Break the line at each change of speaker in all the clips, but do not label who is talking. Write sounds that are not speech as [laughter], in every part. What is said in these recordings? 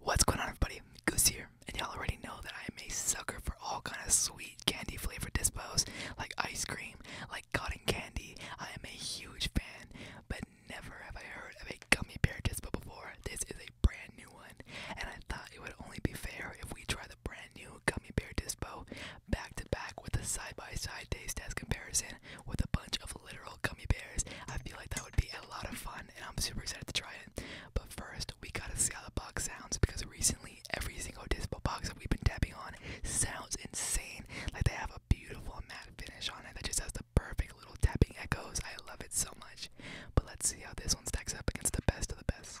What's going on everybody? Goose here, and y'all already know that I am a sucker for all kind of sweet candy flavored dispos, like ice cream, like cotton candy. I am a huge fan, but never have I heard of a gummy bear dispo before. This is a brand new one, and I thought it would only be fair if we try the brand new gummy bear dispo back to back with a side by side taste test comparison with a bunch of literal gummy bears. I feel like that would be a lot of fun and I'm super excited to try it. But first, we gotta see how the box sounds because recently every single dispo box that we've been tapping on sounds insane. Like they have a beautiful matte finish on it that just has the perfect little tapping echoes. I love it so much. But let's see how this one stacks up against the best of the best.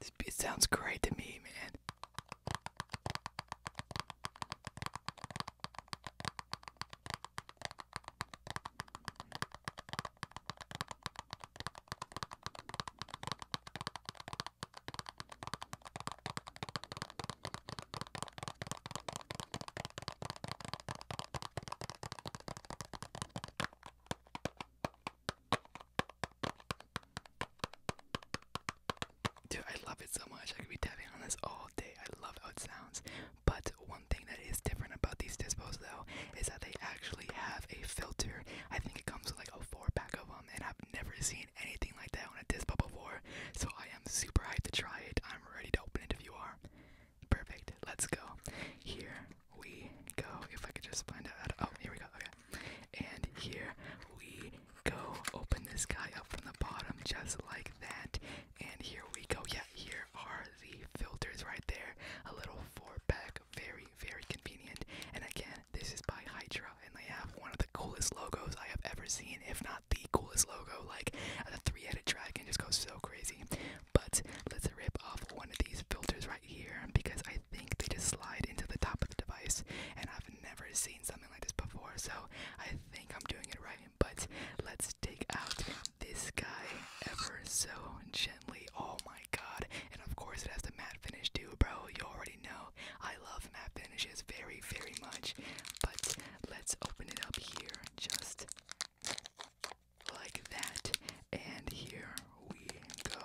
This beat sounds great to me, man. Dude, I love it so much. I could be tapping on this all day. I love how it sounds. But one thing that is different about these dispos, though, is that they actually have a filter. I think it comes with like a four pack of them, and I've never seen anything like that on a Dispo before. So I am super hyped to try it. I'm ready to open it if you are. Perfect. Let's go. Here we go. If I could just find out. oh, here we go. Okay. And here we go. Open this guy up from the bottom, just like that. And here we go. Yeah here are the filters right there. A little four pack, very, very convenient. And again, this is by Hydra, and they have one of the coolest logos I have ever seen, if not the coolest logo. Like the three headed dragon just goes so crazy. But let's rip off one of these filters right here because I think they just slide into the top of the device, and I've never seen something like this before, so I think I'm doing it right. But let's take out this guy ever so gently. Oh my god. And of course it has the matte finish too, bro. You already know. I love matte finishes very, very much. But let's open it up here just like that. And here we go.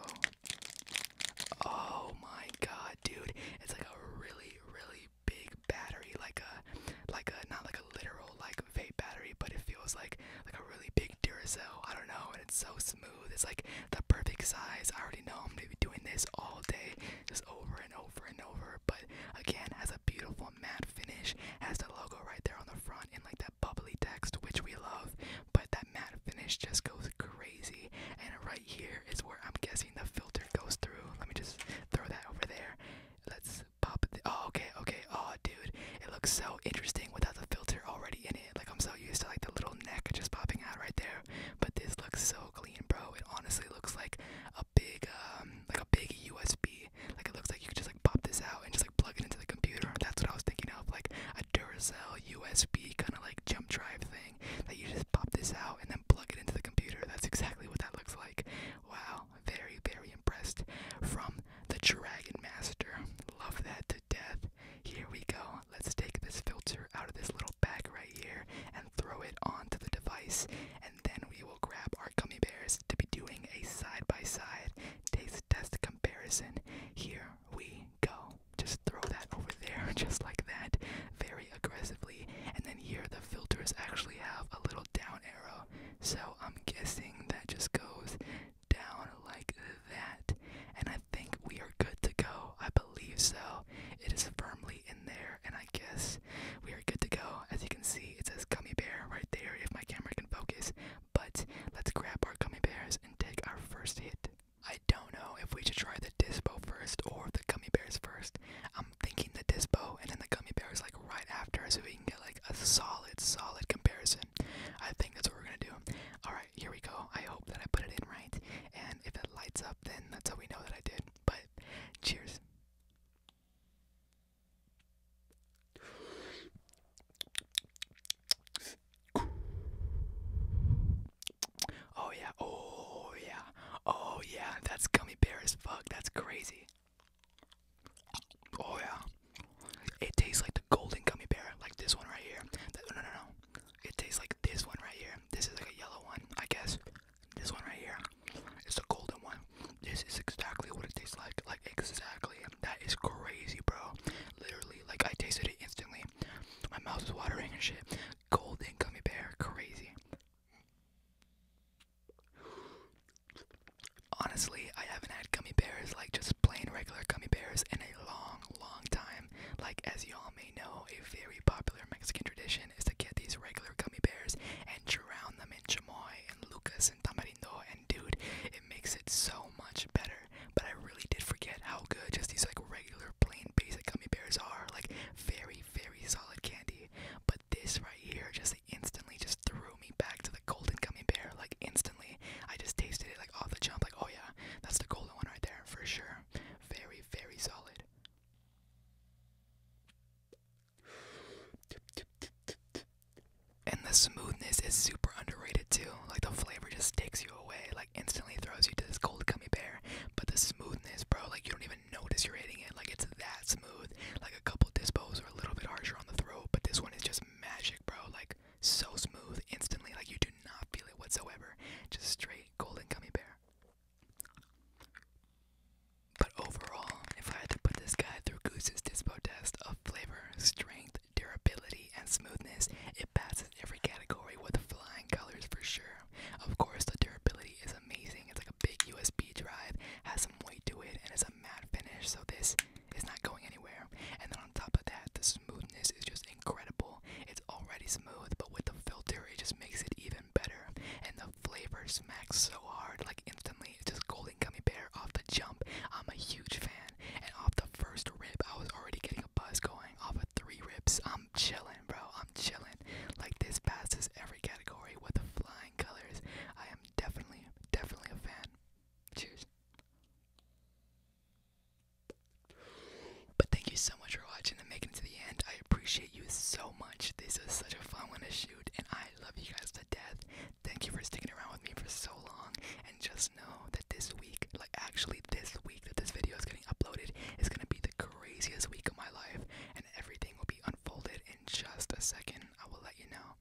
Oh my god, dude. It's like a really, really big battery, like a like a not like a literal like convey battery, but it feels like like a really big Duracell. I don't know, and it's so smooth. It's like the perfect size. I already know I'm gonna be doing this all day, just over and over and over. But again, has a beautiful matte finish. Has the logo right there on the front and like that bubbly text, which we love. But that matte finish just goes crazy. And right here is where I'm guessing the filter goes through. Let me just throw that over there. Let's pop it. Oh, okay, okay. Oh, dude, it looks so interesting without the filter already in it. Like I'm so used to like the little neck just popping out right there, but this looks so clean, bro. It honestly looks like a big, um, like a big USB. Like it looks like you could just like pop this out and just like plug it into the computer. That's what I was thinking of, like a Duracell USB kind of like jump drive thing that you just pop this out and then plug it into the computer. That's exactly what that looks like. Wow very, very impressed from the Dragon Master. Love that to death. Here we go. Let's take this filter out of this little bag right here and throw it onto the device, and then we will grab our gummy bears to be doing a side by side taste test comparison. Here we go. Just throw that over there, [laughs] just like that. Very aggressively, and then here the filters actually have a little down arrow, so I'm guessing that just goes down like that, and I think we are good to go. I believe so. It is firmly in there, and I guess we are good to go. As you can see, it says gummy bear right there if my camera can focus, but let's grab our gummy bears and take our first hit. I don't know if we should try the dispo first or the gummy bears 1st thinking the Dispo and then the gummy bear is like right after so we can get like a solid, solid comparison. I think that's what we're gonna do. Alright, here we go. I hope that I put it in right. And if it lights up then that's how we know that I did. But cheers. Oh yeah, oh yeah, oh yeah, that's gummy bear as fuck, that's crazy. Oh yeah. It tastes like the golden gummy bear, like this one right here. No, no, no. It tastes like this one right here. This is like a yellow one, I guess. This one right here. It's the golden one. This is exactly what it tastes like. Like, exactly. That is crazy, bro. Literally, like, I tasted it instantly. My mouth is watering and shit golden gummy bear, crazy. Honestly, I haven't had gummy bears like just plain regular gummy bears in a long, long time. Like, as y'all may know, a very popular Mexican tradition is to get these regular gummy bears and drown them in chamoy and lucas and tamarindo. And dude, it makes it so much better but I really did forget how good just these like regular plain basic gummy bears are. Like very, very solid candy. But this right here just instantly just threw me back to the golden gummy bear. Like instantly. I just tasted it like off the jump, like, oh yeah, that's the golden one right there for sure. Very, very solid. And the smoothness is super underrated too. Like the flavor just takes you away. Like instantly throws you to this cold gummy bear. But the smoothness, bro, like you don't even notice you're hitting it. Like it's that smooth. Like a couple dispos are a little bit harsher on the throat, but this one is just magic, bro. Like so smooth, instantly. Like you do not feel it whatsoever. Just straight golden gummy bear. But overall, if I had to put this guy through Goose's dispo test of flavor, strength, durability, and smoothness. It passes every category with flying colors for sure. Of course, the durability is amazing. It's like a big USB drive, has some weight to it, and it's a matte finish, so this is not going anywhere. And then on top of that, the smoothness is just incredible. It's already smooth, but with the filter, it just makes it even better. And the flavor smacks so hard, like instantly. It's just golden gummy bear off the jump. I'm a huge fan. And off the first rip, I was already getting a buzz going. Off of three rips, I'm chilling, bro. I'm chilling. Like this passes every category with the flying colors. I am definitely, definitely a fan. Cheers. But thank you so much for watching and making it to the end. I appreciate you so much. This was such a fun one to shoot, and I love you guys to death. Thank you for sticking around with me for so long and just know that this week, like actually this week that this video is getting uploaded, is gonna be the craziest week of my life, and everything will be unfolded in just a second. I will let you know.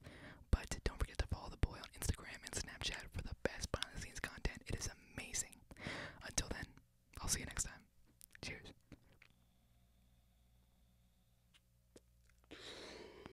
But don't forget to follow the boy on Instagram and Snapchat for the best behind the scenes content. It is amazing. Until then, I'll see you next time. Cheers.